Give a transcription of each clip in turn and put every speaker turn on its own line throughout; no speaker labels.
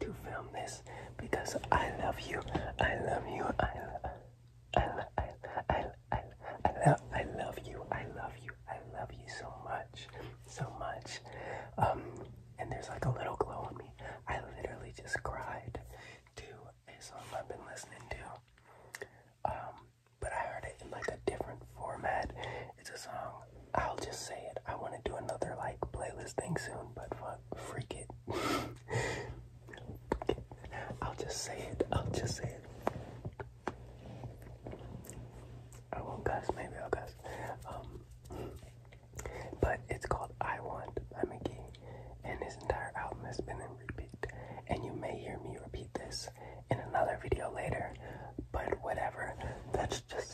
to film this because I love you. I love you. I love I, I, I, I, I, lo I love you. I love you. I love you so much. So much. Um, and there's like a little glow on me. I literally just cried to a song I've been listening to. Um, but I heard it in like a different format. It's a song. I'll just say it. I want to do another like playlist thing soon, but fuck. Freak it. I'll just say it. I'll just say it. I won't guess. Maybe I'll guess. Um, but it's called I Want I'm a Mickey, and this entire album has been in repeat. And you may hear me repeat this in another video later, but whatever. That's just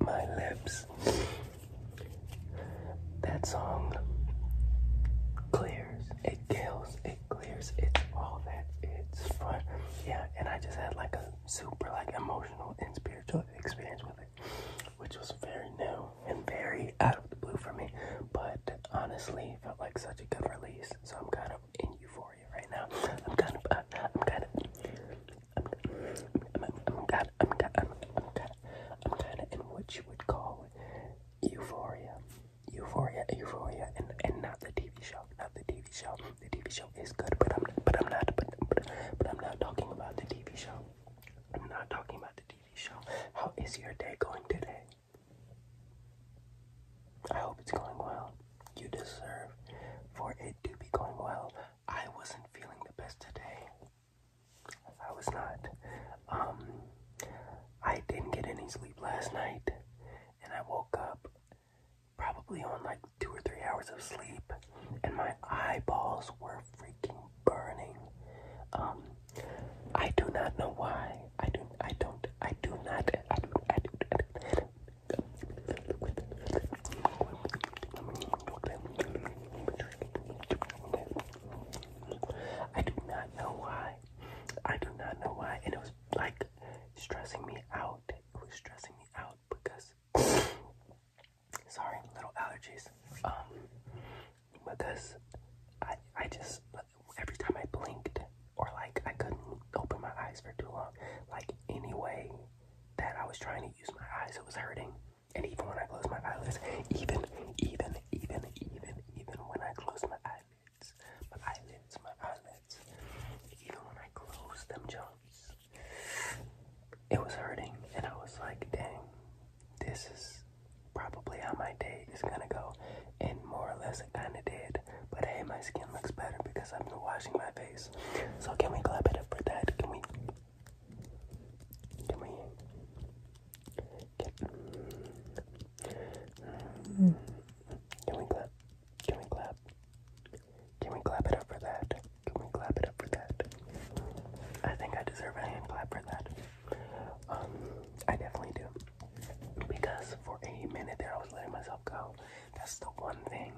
my lips. That song clears, it kills, it clears, it's all that, it's fun. Yeah, and I just had like a super like emotional and spiritual experience with it, which was very new and very out of the blue for me. But honestly, felt like such a good release. So I'm kind of in euphoria right now. I'm kind of, uh, I'm kind of, I'm, I'm, i I'm, I'm, I'm kind of, I'm kind of in what you would call euphoria, euphoria, euphoria, and and not the TV show, not the TV show. The TV show is good, but I'm, but I'm not, but, but, but I'm not talking about the TV show. I'm not talking about the TV show. How is your day going today? I hope it's going well. You deserve for it to be going well. I wasn't feeling the best today. I was not. Um, I didn't get any sleep last night, and I woke up probably on like two or three hours of sleep, and my eyeballs were freaking burning. Um, I do not know why. I do. I don't. I do not. I do. I I do, I do I do not know why. I do not know why. And it was like stressing me out. It was stressing me out because sorry, little allergies. Um because I I just every time I blinked or like I couldn't open my eyes for too long, like anyway that I was trying to use my eyes, it was hurting. And even when I closed my eyelids, even, even, even, even, even when I closed my eyelids, my eyelids, my eyelids, even when I closed them, Jones, it was hurting. And I was like, dang, this is probably how my day is gonna go. And more or less, it kinda did. But hey, my skin looks better because i am been washing my face. So can we clap it up for that? Can we? Can we? can we clap? Can we clap? Can we clap it up for that? Can we clap it up for that? I think I deserve a hand clap for that. Um, I definitely do. Because for a minute there I was letting myself go. That's the one thing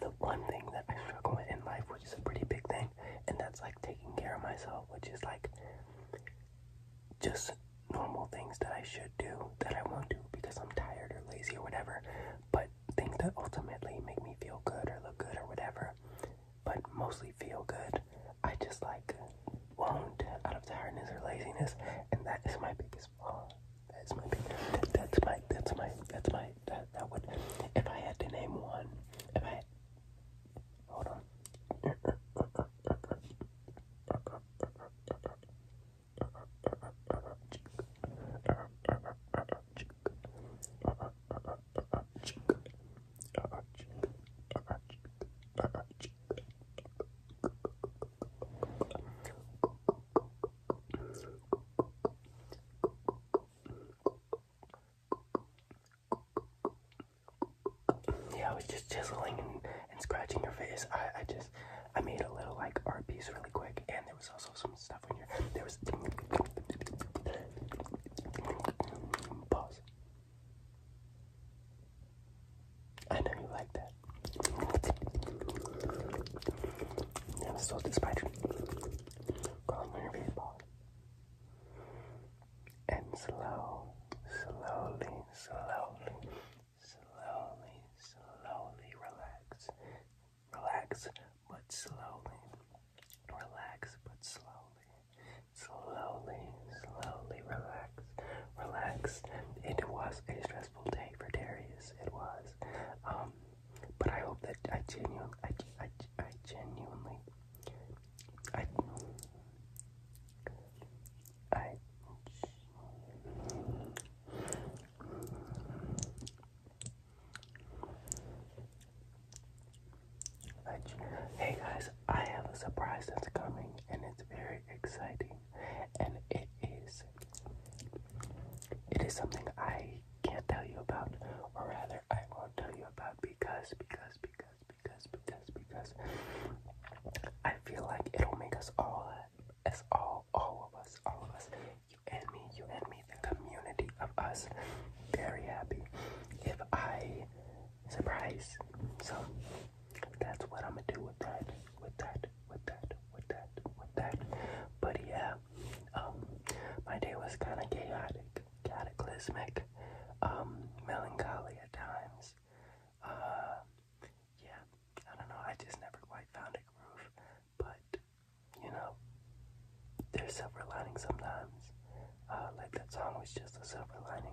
the one thing that I struggle with in life, which is a pretty big thing, and that's like taking care of myself, which is like just normal things that I should do that I won't do because I'm tired or lazy or whatever, but things that ultimately make me feel good or look good or whatever, but mostly feel good, I just like won't out of tiredness or laziness, and that is my biggest that's my that's my that's my that's my that that would if I had to name one if I had hold on yeah, I was just chiseling and, and scratching your face. I, I just, I made a little like art piece really quick, and there was also some stuff on your. There was. Pause. I know you like that. I'm so despite Call me people. And slow, slowly, slowly, slowly, slowly relax. Relax, but slowly. Relax, but slowly. Slowly, slowly relax relaxed. It was a stressful day for Darius. It was. Um, but I hope that I genuinely, I, I, I genuinely, I, I, I, hey guys, I have a surprise that's coming and it's very exciting and it is it is something I can't tell you about, or rather I won't tell you about because because because because because because I feel like it'll make us all as all all of us all of us you and me you and me the community of us very happy if I surprise so that's what I'm gonna do with that, with that, with that, with that, with that. But yeah, um, my day was kind of chaotic, cataclysmic, um, melancholy at times. Uh, yeah, I don't know. I just never quite found a groove, but you know, there's silver lining sometimes. Uh, like that song was just a silver lining.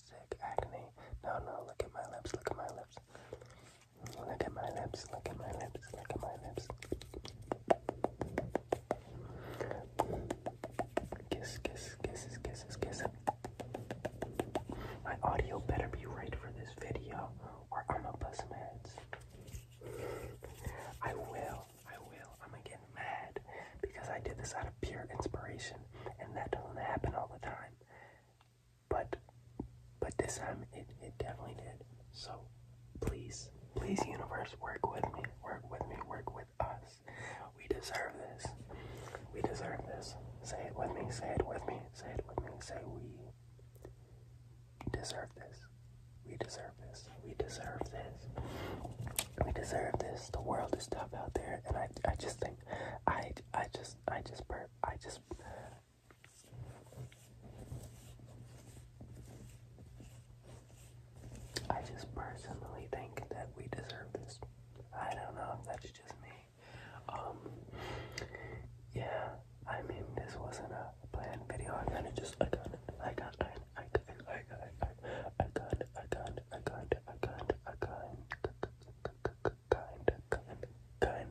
Sick agony! No, no, look at my lips, look at my lips. Look at my lips, look at my lips, look at my lips. Kiss, kiss, kisses, kisses, kisses. My audio better be right for this video, or I'ma bust meds. I will, I will. I'ma get mad because I did this out pure inspiration, and that doesn't happen all the time. But but this time it, it definitely did. So please, please universe, work with me, work with me, work with us. We deserve this. We deserve this. Say it with me, say it with me, say it with me, say we deserve this. We deserve this. We deserve this. We deserve this. The world is tough out there, and I, I just think something. I, I just, I just burp. I just. I just personally think that we deserve this. I don't know if that's just me. Um, yeah, I mean, this wasn't a planned video. I kind of just, I got it, I got it, I got it, I got it, I got it, I got it, I got it, kind, a kind, a kind, kind, kind, kind.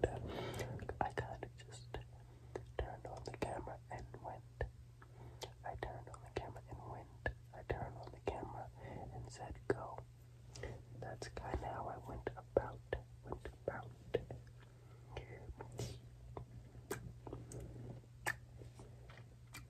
I kind of just turned on the camera and went. I turned on the camera and went. I turned on the camera and said go. That's kind of how I went about, went about.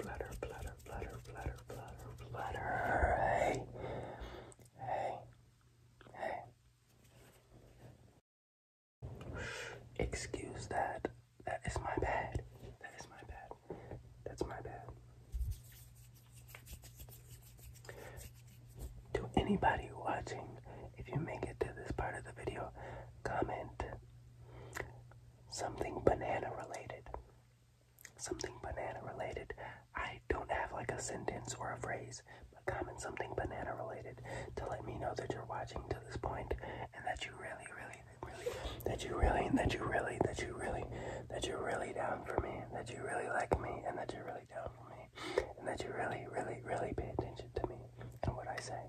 flutter, flutter, flutter, flutter, flutter, flutter, flutter. Hey, hey, hey. Excuse that. That is my bad. That is my bad. That's my bad. To anybody watching, if you make it to this part of the video, comment Something banana related. Something banana related. I don't have like a sentence or a phrase, but comment something banana related to let me know that you're watching to this point and that you really, really, really, that you really, that you really, that you really, that you're really down for me, that you really like me, and that you're really down for me, and that you really, really, really pay attention to me and what I say.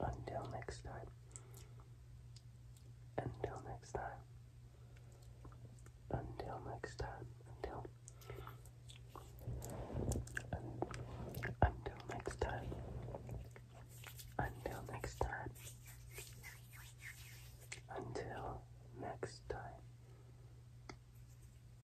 Until next time. Until next time. Until next time. Until. until next time. Until next time. Until next time.